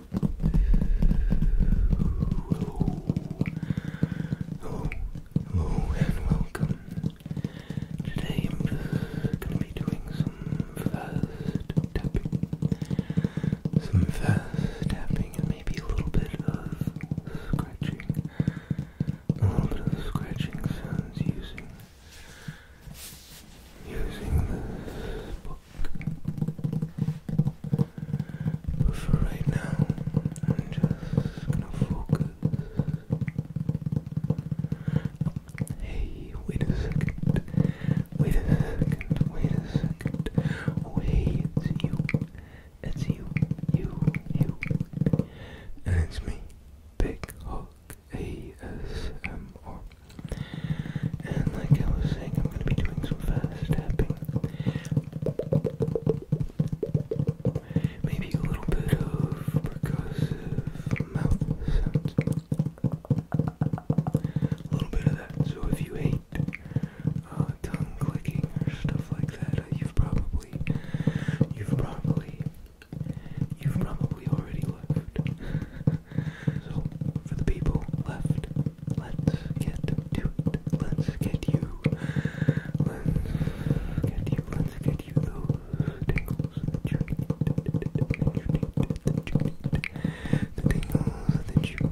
Hello, hello, and welcome. Today I'm gonna be doing some fast tapping, some fast tapping, and maybe a little bit of scratching, a little bit of scratching sounds using using this book. But for right now, I'm just gonna focus. Hey, wait a second. Wait a second. Wait a second. Oh, hey, it's you. It's you. You. You. And it's me, Big Hawk ASMR. And like I was saying, I'm gonna be doing some fast tapping. Maybe a little bit of percussive mouth sounds. A little bit of that. So if you hate uh, tongue clicking or stuff like that, uh, you've probably, you've probably, you've probably already left. so for the people left, Let's get to it. Let's get you. Let's get you. Let's get you those tingles that you need. That you need. That you need. The tingles that you need.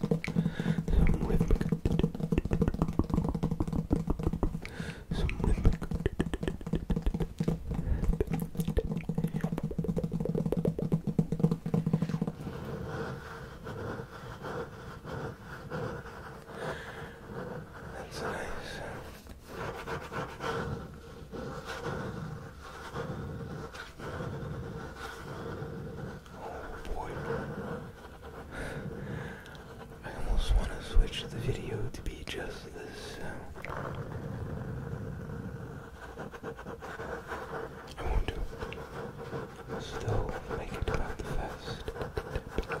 some rhythmic, some rhythmic. That's nice. That's Oh boy. I almost want to switch the video to be just this I won't Still make it about the fest. The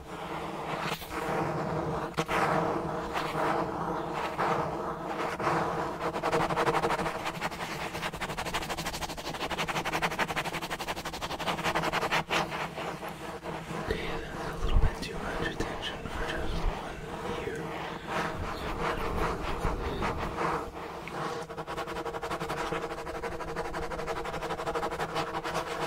that's a little bit too much attention for just one ear.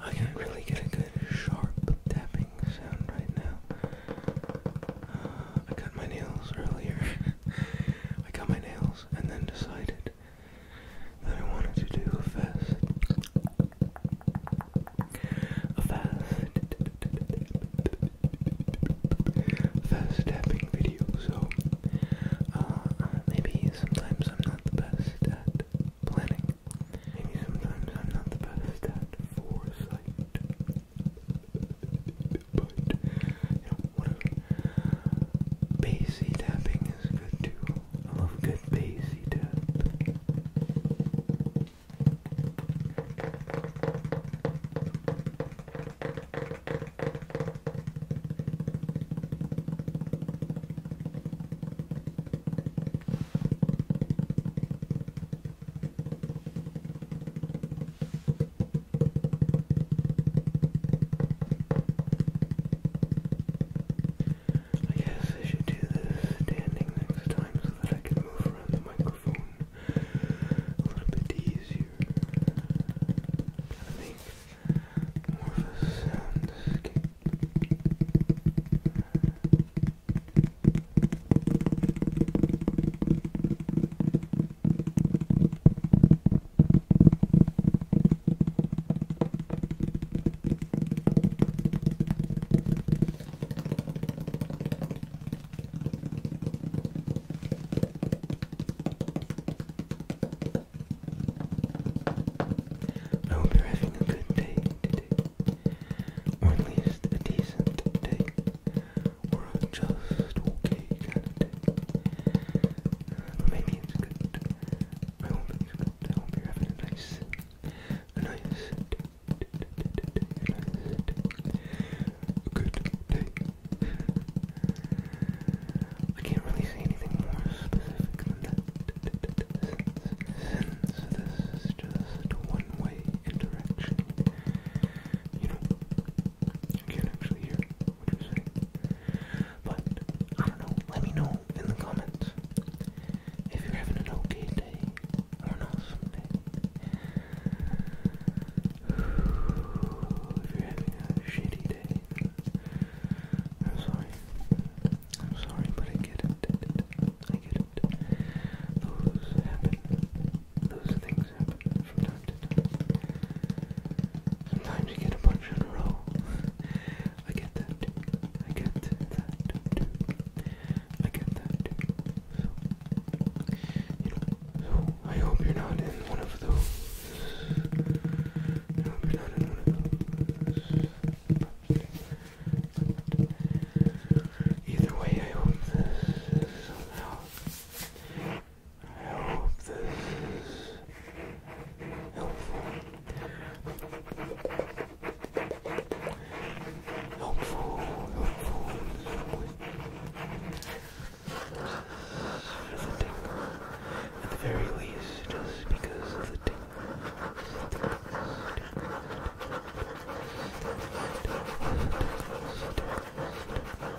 I can't really get a good sharp tapping sound right now. Uh, I cut my nails earlier. I cut my nails and then decided that I wanted to do a fast. A fast. Fast tapping video, so uh, maybe sometimes I'm not the best at planning. Maybe sometimes I'm not the best at foresight. But, you know, whatever. Bassy tapping is good too. I love good bassy tap. All I guess I should do this standing next time so that I can move around the microphone a little bit easier. Gotta more of a soundscape. I hope you having a good day today, or at least a decent day or just okay But maybe it's good. I hope good. I hope you're having a nice, nice good day. I can't really say anything more specific than that. Since, this is just one way interaction, you know, I can't actually hear what you're saying. But, I don't know. Let me know in the comments if you're having an okay day or an awesome day. If you're having a shitty day, I'm sorry. I'm sorry, but I get it. I get it. Those happen. Those things happen from time to time. Sometimes you get a bunch in a row. I get that I get that I get that So, I hope you're not in one of those. I hope you're not in one of those. either way, I hope this is somehow I hope this is helpful. Helpful, helpful in At the very least, just because of the tingle.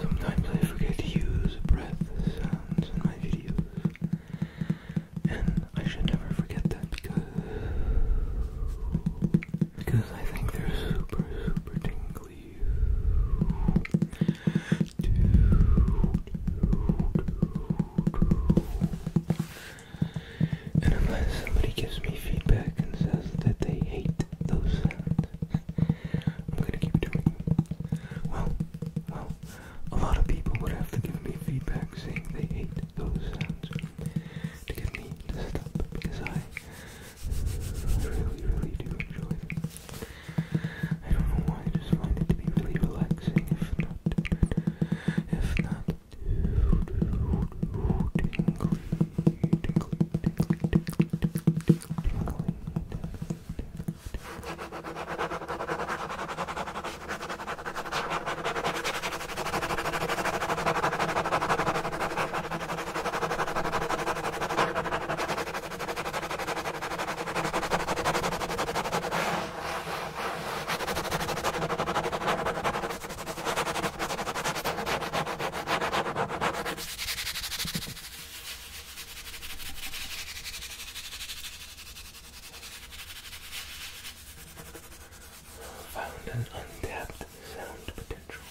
Sometimes I forget to use breath sounds in my videos, and I should never forget that because because I think they're super, super tingly. And unless somebody gives me feedback and says that they hate those sounds, I'm gonna keep doing them. Well, well, a lot of people would have to give me feedback saying they hate those sounds to get me to stop because I I really, really do enjoy them. I don't know why, I just find it to be really relaxing, if not, if not, Found an untapped sound potential.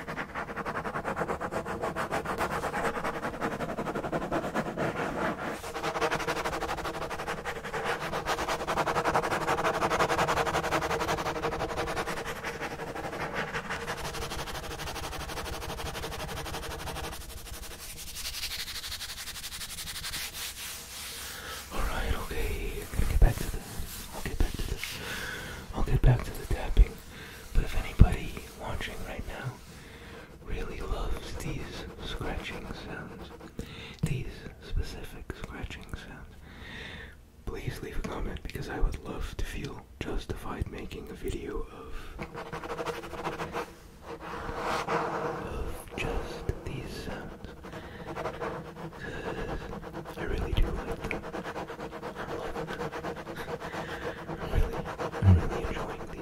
Alright, okay, I'll get back to the I'll get back to the I'll get back to the tapping. But if anybody watching right now really loves these scratching sounds, these specific scratching sounds, please leave a comment because I would love to feel justified making a video of of just these sounds. I really do like them. I'm really, I'm really enjoying these.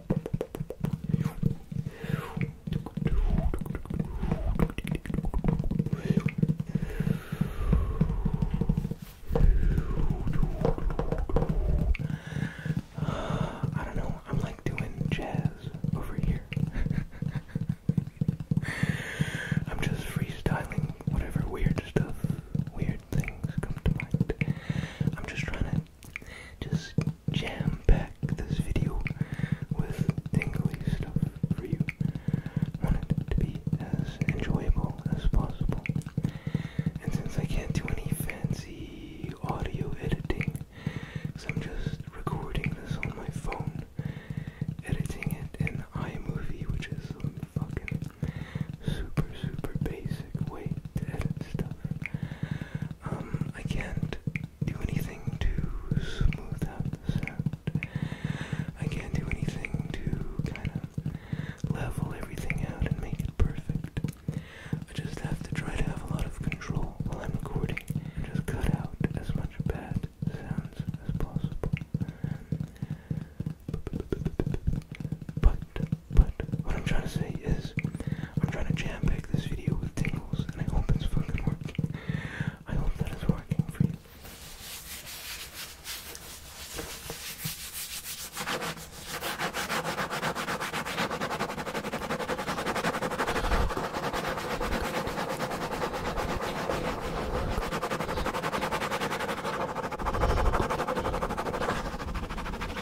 I don't know, I'm like doing jazz over here. I'm just freestyling whatever weird stuff, weird things come to mind. I'm just trying to just jam pack this video with tingly stuff for you. I to be as enjoyable as possible. And since I can't do any fancy audio editing, because I'm just recording this on my phone, editing it in iMovie, which is some fucking super, super basic way to edit stuff. Um, I can't do anything to smooth out the sound. I can't do anything to kind of level everything out and make it perfect. I just have to try to have a lot of control while I'm recording and just cut out as much bad sounds as possible. But but what I'm trying to say is, I'm trying to jam pack this video with tingles, and I hope it's fucking working. I hope that is working for you.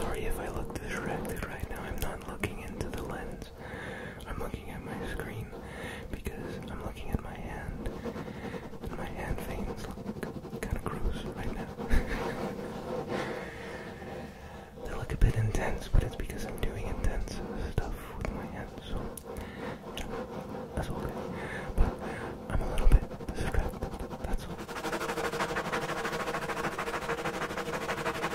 Sorry if I look distracted right now. I'm not looking into the lens. I'm looking at my screen because I'm looking at my hand. And my hand veins look kind of gross right now. they look a bit intense, but it's because I'm doing intense stuff with my hands, so that's okay. But I'm a little bit distracted. That's all.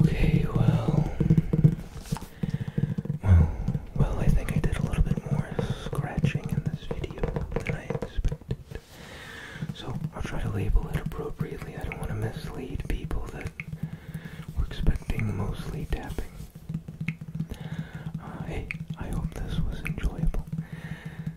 Okay, well, well, well, I think I did a little bit more scratching in this video than I expected. So I'll try to label it appropriately. I don't want to mislead people that were expecting mostly tapping. Uh, hey, I hope this was enjoyable.